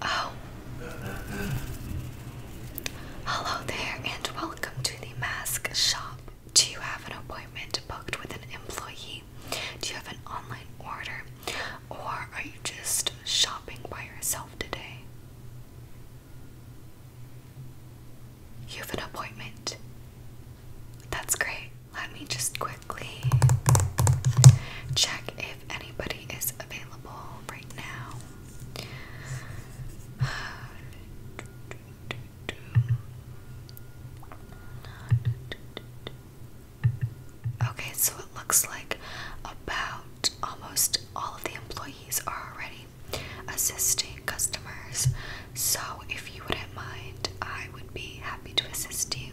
Oh. Hello there, and welcome to the mask shop. Do you have an appointment booked with an employee? Do you have an online order? Or are you just shopping by yourself today? You have an appointment. That's great. Let me just quickly check if anybody is available right now. Okay, so it looks like about almost all of the employees are already assisting customers. So, if you wouldn't mind, I would be happy to assist you.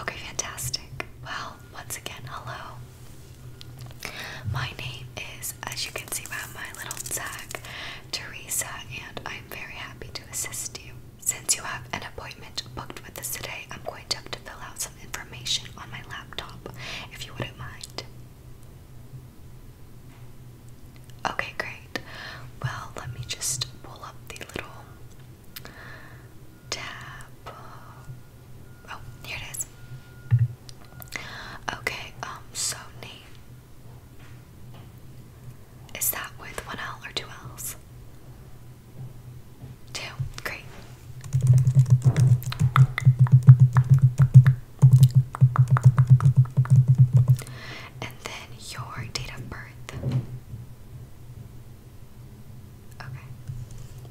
Okay, fantastic. Well, once again, hello. My name is, as you can see by my little tag, Teresa, and I'm very happy to assist you. Since you have an appointment booked with us today, I'm going to have to fill out some information on my laptop. If you wouldn't mind, Okay, great. Well, let me just pull up the little tab. Oh, here it is. Okay, um, so Is that with one L or two L's? Two. Great. And then your date of birth. Okay.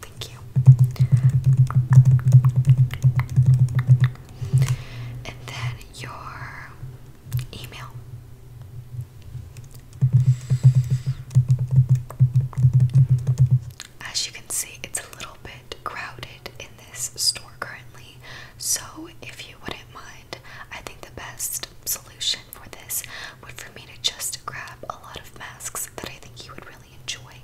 Thank you. And then your email. As you can see, it's a little bit crowded in this store currently, so if you wouldn't mind, I think the best solution for this would for me to just grab a lot of masks that I think you would really enjoy,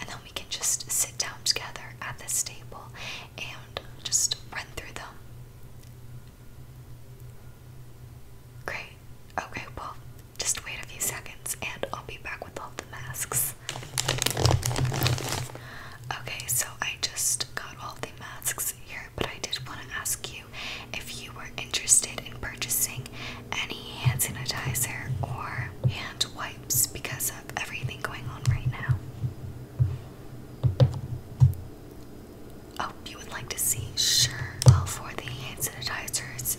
and then we can just sit down together at this table and just run through them. Great. Okay, well, just wait a few seconds and I'll be back with all the masks. Okay, so I just got all the masks here, but I did want to ask you if you were interested in purchasing any hand sanitizer or hand wipes because of everything going on right now. Oh, you would like to see? Sure. All for the hand sanitizers,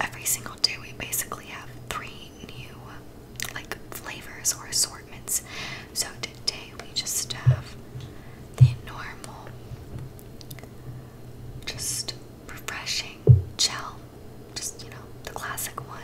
Every single day, we basically have three new like flavors or assortments. So today, we just have the normal, just refreshing gel, just you know, the classic one.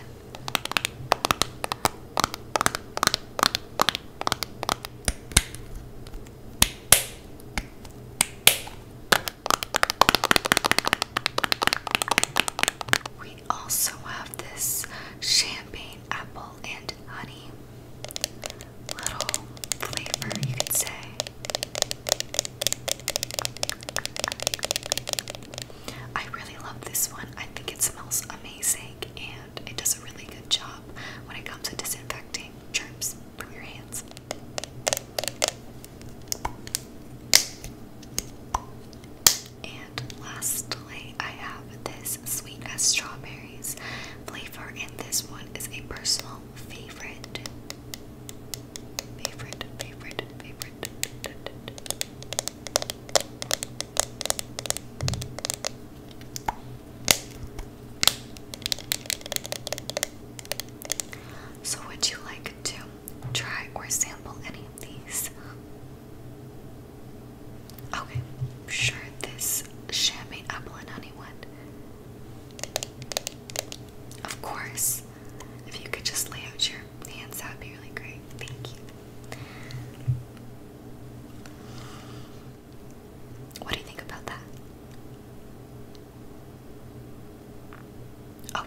We also have this champagne apple and honey little flavor, you could say. I really love this one. I think it smells amazing and it does a really good job when it comes to disinfecting germs. And lastly, I have this sweet as strawberries flavor, and this one is a personal favorite. Favorite, favorite, favorite. So, would you like to try or sample any of these? Okay, sure, this champagne apple and honey one. Of course, if you could just lay out your hands, that be really great. Thank you. What do you think about that? Oh,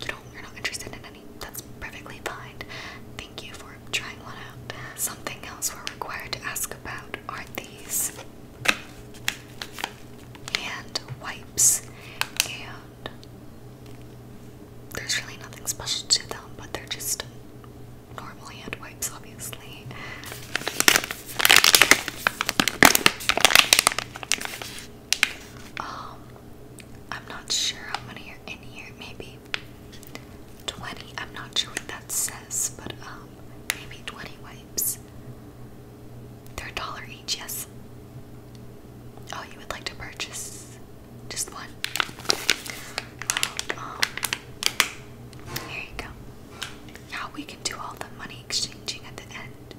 you don't, you're not interested in any. That's perfectly fine. Thank you for trying one out. Something else we're required to ask about are these hand wipes, and there's really nothing special to them, but they're just normal hand wipes, obviously. Um, I'm not sure how many are in here. Maybe 20. I'm not sure what that says, but um, maybe 20 wipes. They're a dollar each, yes. Oh, you would like to purchase just one? Um, here you go. Now we can do all the money exchanging at the end.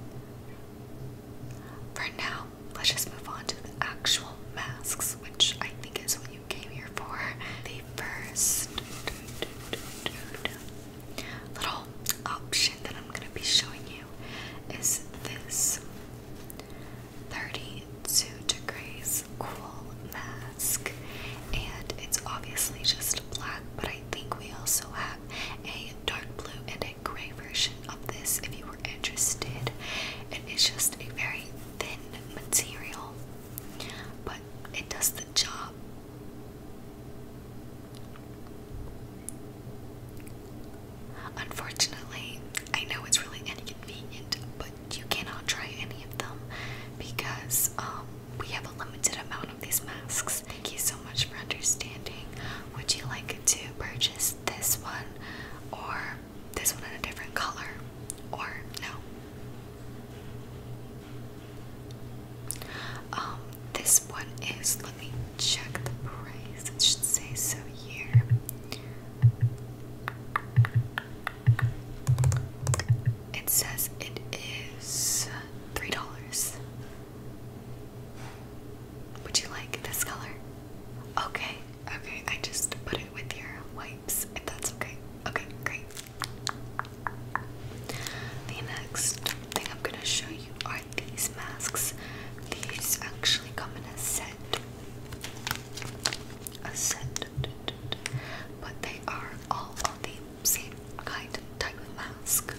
For now, let's just move on to the actual masks, which I think is what you came here for. The first little option that I'm going to be showing you is this 32 to Cool Mask, and it's obviously just black, but I think we also have a dark blue and a gray version of this if you were interested. And it's just a very thin material, but it does the job. Unfortunately, I know it's really inconvenient, but you cannot try any of them because um, we have a limited amount of these masks. Thank you so much for understanding. Would you like to purchase this one or this one in a different color or no? Um, this one is, let me check the price, it should say so here. It says it is three dollars. Would you like this color? Okay, okay, I just put it with your wipes if that's okay. Okay, great. The next thing I'm gonna show you are these masks. These actually come in a set. A set but they are all of the same kind type of mask.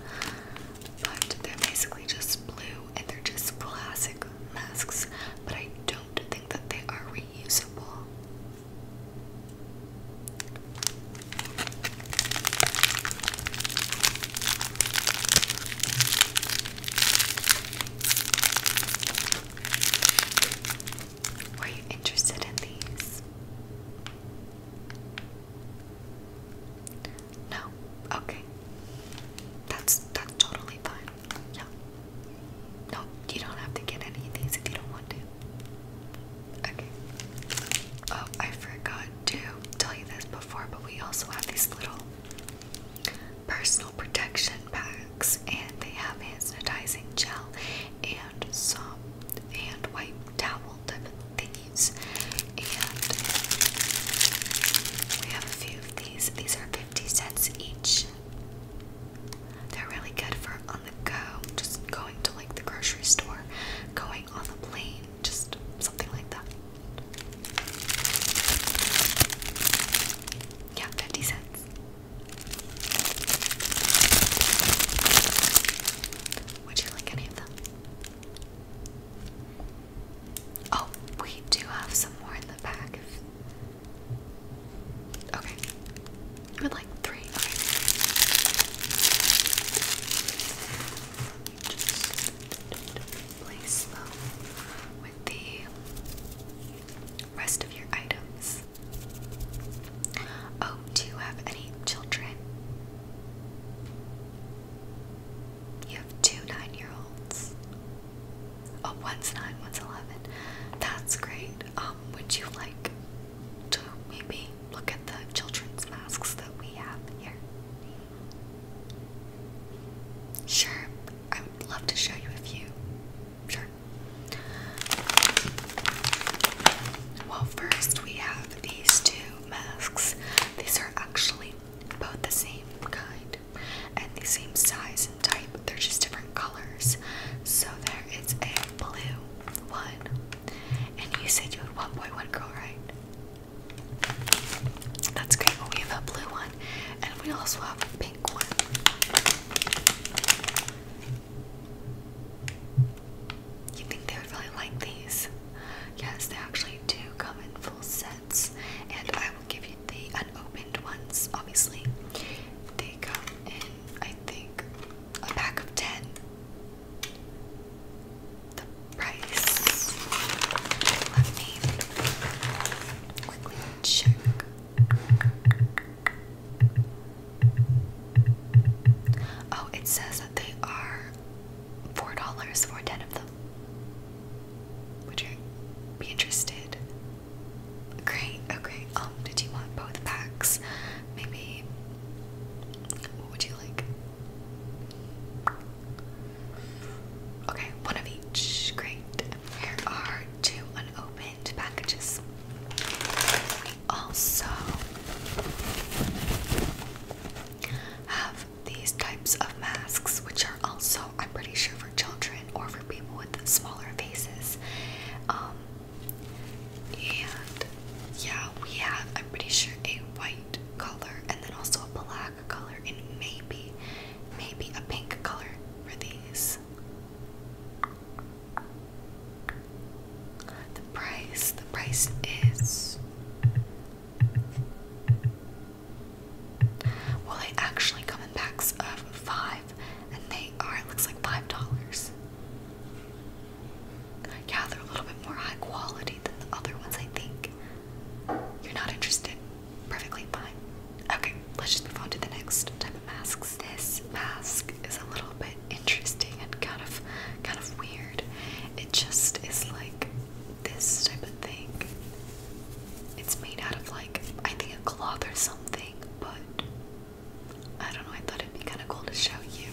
But they're basically just blue and they're just classic masks. But I don't think that they are reusable. Were you interested in these? No. Okay. That's that's totally fine. No. No, you don't have to get any of these if you don't want to. Okay. Oh, I forgot to tell you this before, but we also have these little personal protection packs, and they have sanitizing gel and soap and wipe towels. type And we have a few of these. These are 50 cents each. They're really good for on the go, just going to like the grocery store, going on the plane, just something like that. Yeah, 50 cents. Would you like any of them? Oh, we do have some more in the bag. Okay. You would like three? just place them with the rest of your items. Oh, do you have any children? You have two nine year olds. Oh, one's nine, one's eleven. That's great. Um, would you like to maybe look at the children's masks that we have here? Sure love to show you a few. Sure. Well, first we have these two masks. These are actually both the same kind and the same size and type. They're just different colors. So there is a blue one. And you said you had one boy, one girl, right? That's great. we have a blue one, and we also have a pink one. You think they would really like these? Yes, they actually do come in full sets, and I will give you the unopened ones. Obviously, they come in, I think, a pack of ten. Oh, it says that they are four dollars for ten of them. Would you be interested? Great, okay. Um, did you want both packs? Maybe what would you like? Okay, one of each. Great. Here are two unopened packages. We also have these types of masks, which are also, I'm pretty sure, for children or for people with smaller faces. Um, and yeah, we have, I'm pretty sure, a white color and then also a black color and maybe, maybe a pink color for these. The price, the price is. Well, they actually come in packs of five, and they are, it looks like $5. Yeah, they're a little bit more high quality than the other ones, I think. You're not interested? Perfectly fine. Okay, let's just move on to the next type of masks. This mask is a little bit interesting and kind of kind of weird. It just is like this type of thing. It's made out of like I think a cloth or something, but I don't know, I thought it'd be kinda cool to show you.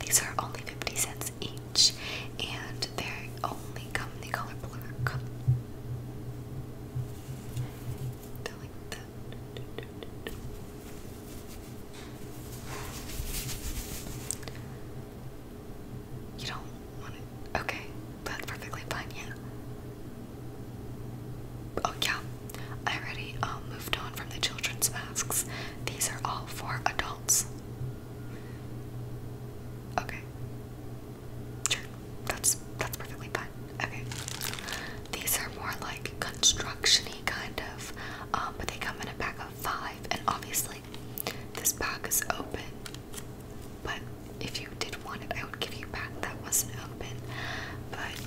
These are only 50 cents each, and they only come in the color black. You don't want it. Okay, that's perfectly fine, yeah. Oh yeah, I already um, moved on from the children's masks. These are all for adults. Okay. Sure. That's that's perfectly fine. Okay. These are more like constructiony kind of, um, but they come in a pack of five, and obviously this pack is open. But if you did want it, I would give you back that wasn't open. But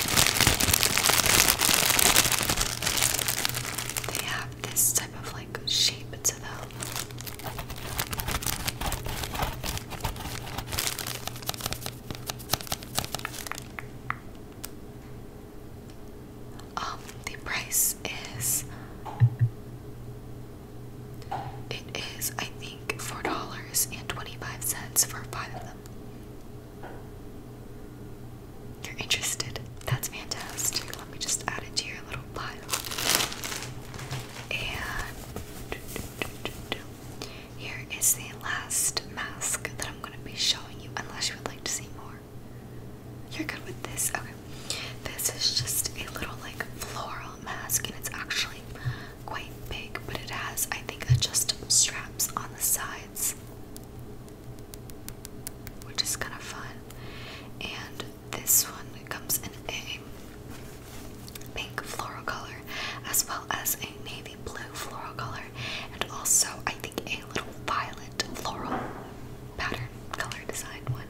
they have this type of like shape to them. Um, the price is it is I think four dollars and twenty-five cents for five of them. You're interested. That's fantastic. Let me just add it to your little pile. And here is the last mask that I'm going to be showing you, unless you would like to see more. You're good with this? Okay. This is just a little like floral mask, and it's actually quite big, but it has, I think, adjustable straps on the sides, which is kind of fun. And this one comes in a pink floral color as well as a navy blue floral color, and also, I think, a little violet floral pattern color design one.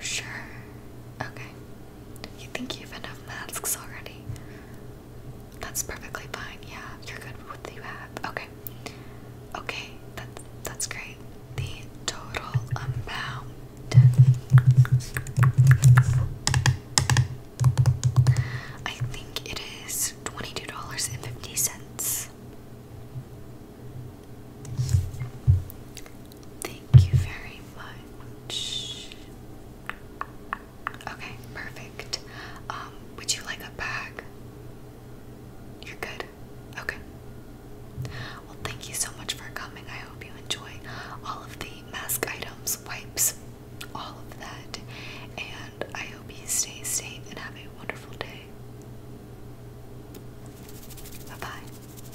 Sure. Okay. You think you have enough masks already? That's perfectly fine. Yeah, you're good with what you have. Okay. Okay, that, that's great. The total amount. I think it is $22.50. Thank you very much. Okay, perfect. Um, would you like a bag? You're good. Okay. Well, thank you so much for coming. I hope you enjoy all of the mask items, wipes, all of that. And I hope you stay safe and have a wonderful day. Bye bye.